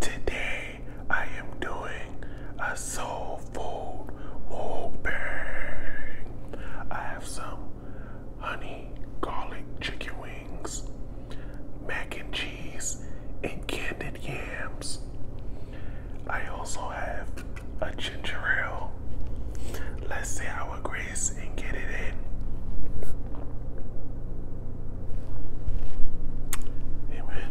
Today I am doing a soul food mukbang. I have some honey garlic chicken wings, mac and cheese, and candied yams. I also have a ginger ale. Let's see how it agrees and get it in. Amen.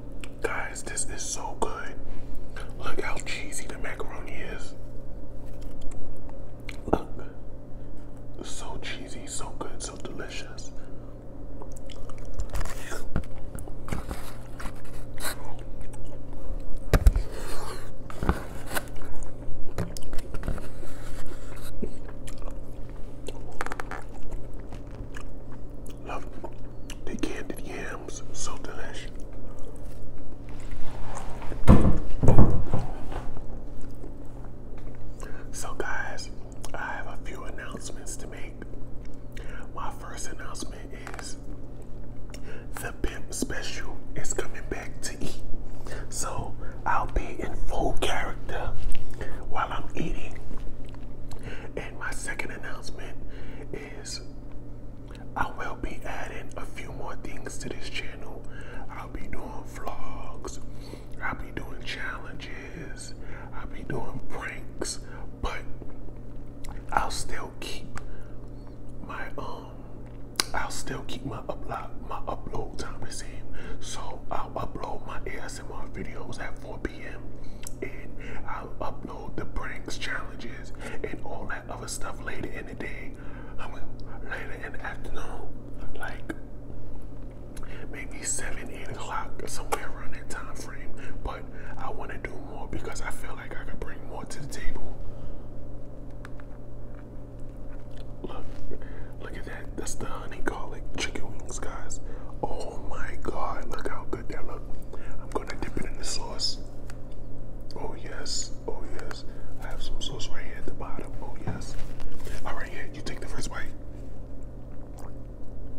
Guys, this is so good. Look how cheesy the macaroni is. Look. So cheesy, so good, so delicious. Love. The candied yams, so delicious. So, guys, I have a few announcements to make. My first announcement is the Pimp Special is coming back to eat. So, I'll be in full character while I'm eating. And my second announcement is. I will be adding a few more things to this channel. I'll be doing vlogs, I'll be doing challenges, I'll be doing pranks, but I'll still keep my um I'll still keep my upload my upload time the same. So I'll upload my ASMR videos at 4 p.m. and I'll upload the pranks, challenges, and all that other stuff later in the day. later in the afternoon, like maybe 7, 8 o'clock, somewhere around that time frame. But I want to do more because I feel like I could bring more to the table. Look, look at that. That's the honey garlic chicken wings, guys. Oh my god, look how good that look. I'm gonna dip it in the sauce. Oh yes, oh yes. I have some sauce right here at the bottom. Oh yes. All right, here You take the first bite.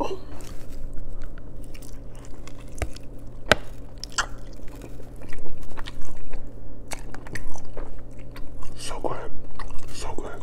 Oh. So good, so good.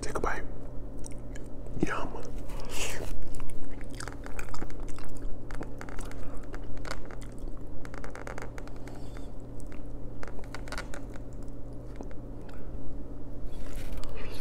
Take a bite. Yum.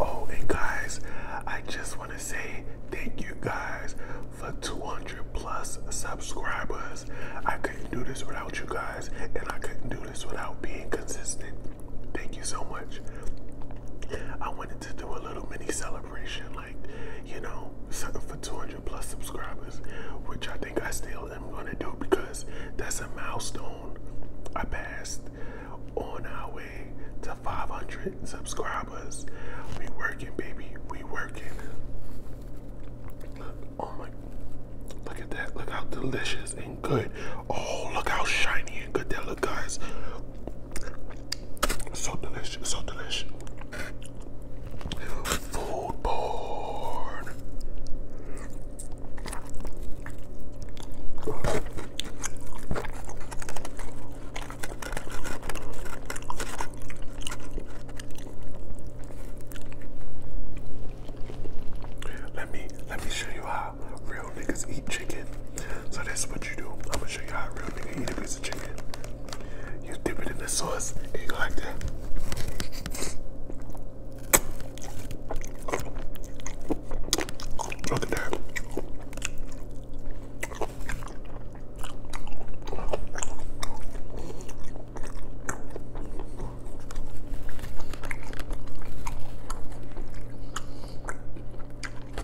Oh, and guys, I just want to say thank you guys for 200 plus subscribers. I couldn't do this without you guys, and I couldn't do this without being consistent. Thank you so much. I wanted to do a little mini celebration you know, for 200 plus subscribers, which I think I still am going to do because that's a milestone I passed on our way to 500 subscribers. We working, baby. We working. Oh my, look at that. Look how delicious and good. Oh, look how shiny and good that look, guys. So delicious, so delicious. Food porn. Let me let me show you how real niggas eat chicken. So this what you do. I'm gonna show you how real nigga eat a piece of chicken you dip it in the sauce you go like that. Look at that.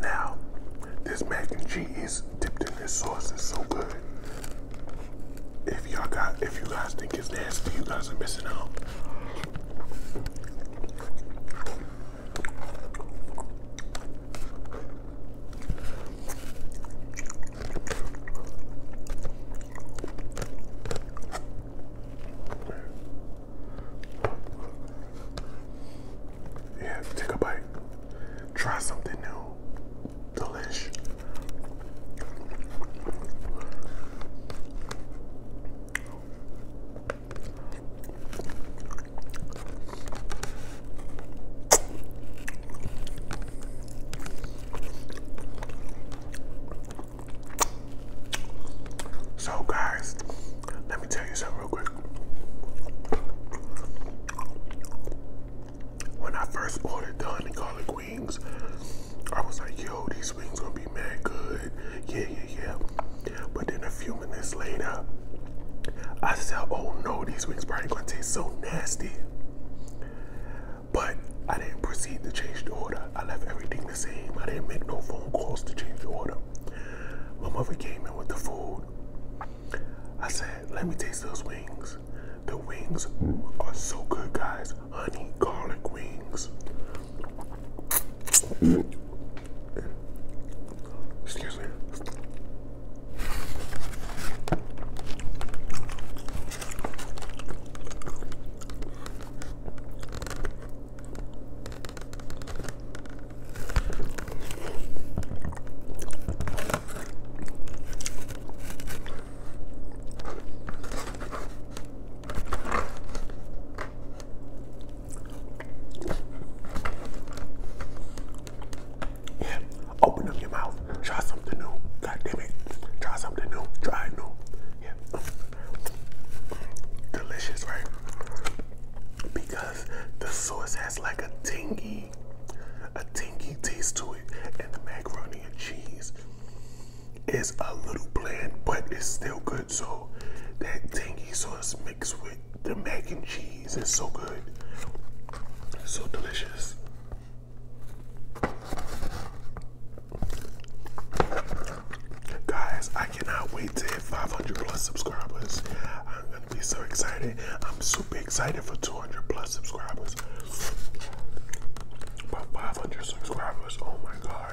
Now, this mac and cheese dipped in this sauce is so good. If y'all got, if you guys think it's nasty, you guys are missing out. Yeah, take a bite. Try something new. Delish. So, guys, let me tell you something real quick. When I first ordered the honey garlic wings, I was like, yo, these wings gonna be mad good. Yeah, yeah, yeah. But then a few minutes later, I said, oh no, these wings probably gonna taste so nasty but I didn't proceed to change the order. I left everything the same. I didn't make no phone calls to change the order. My mother came in with the food. I said, let me taste those wings. The wings are so good, guys. Honey garlic wings. Excuse me. Yeah, open up your mouth. Try something new. God damn it. Try something new. Try new. Yeah. Delicious, right? Because the sauce has like a tingy, a tingy taste to it, and the macaroni and cheese is a little bland, but it's still good. So that tangy sauce mixed with the mac and cheese is so good. so delicious. Guys, I cannot wait to hit 500 plus subscribers. I'm gonna be so excited. I'm super excited for 200 plus subscribers. About 500 subscribers, oh my god.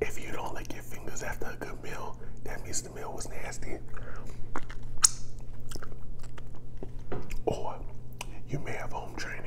If you don't lick your fingers after a good meal, that means the meal was nasty. Or you may have home training.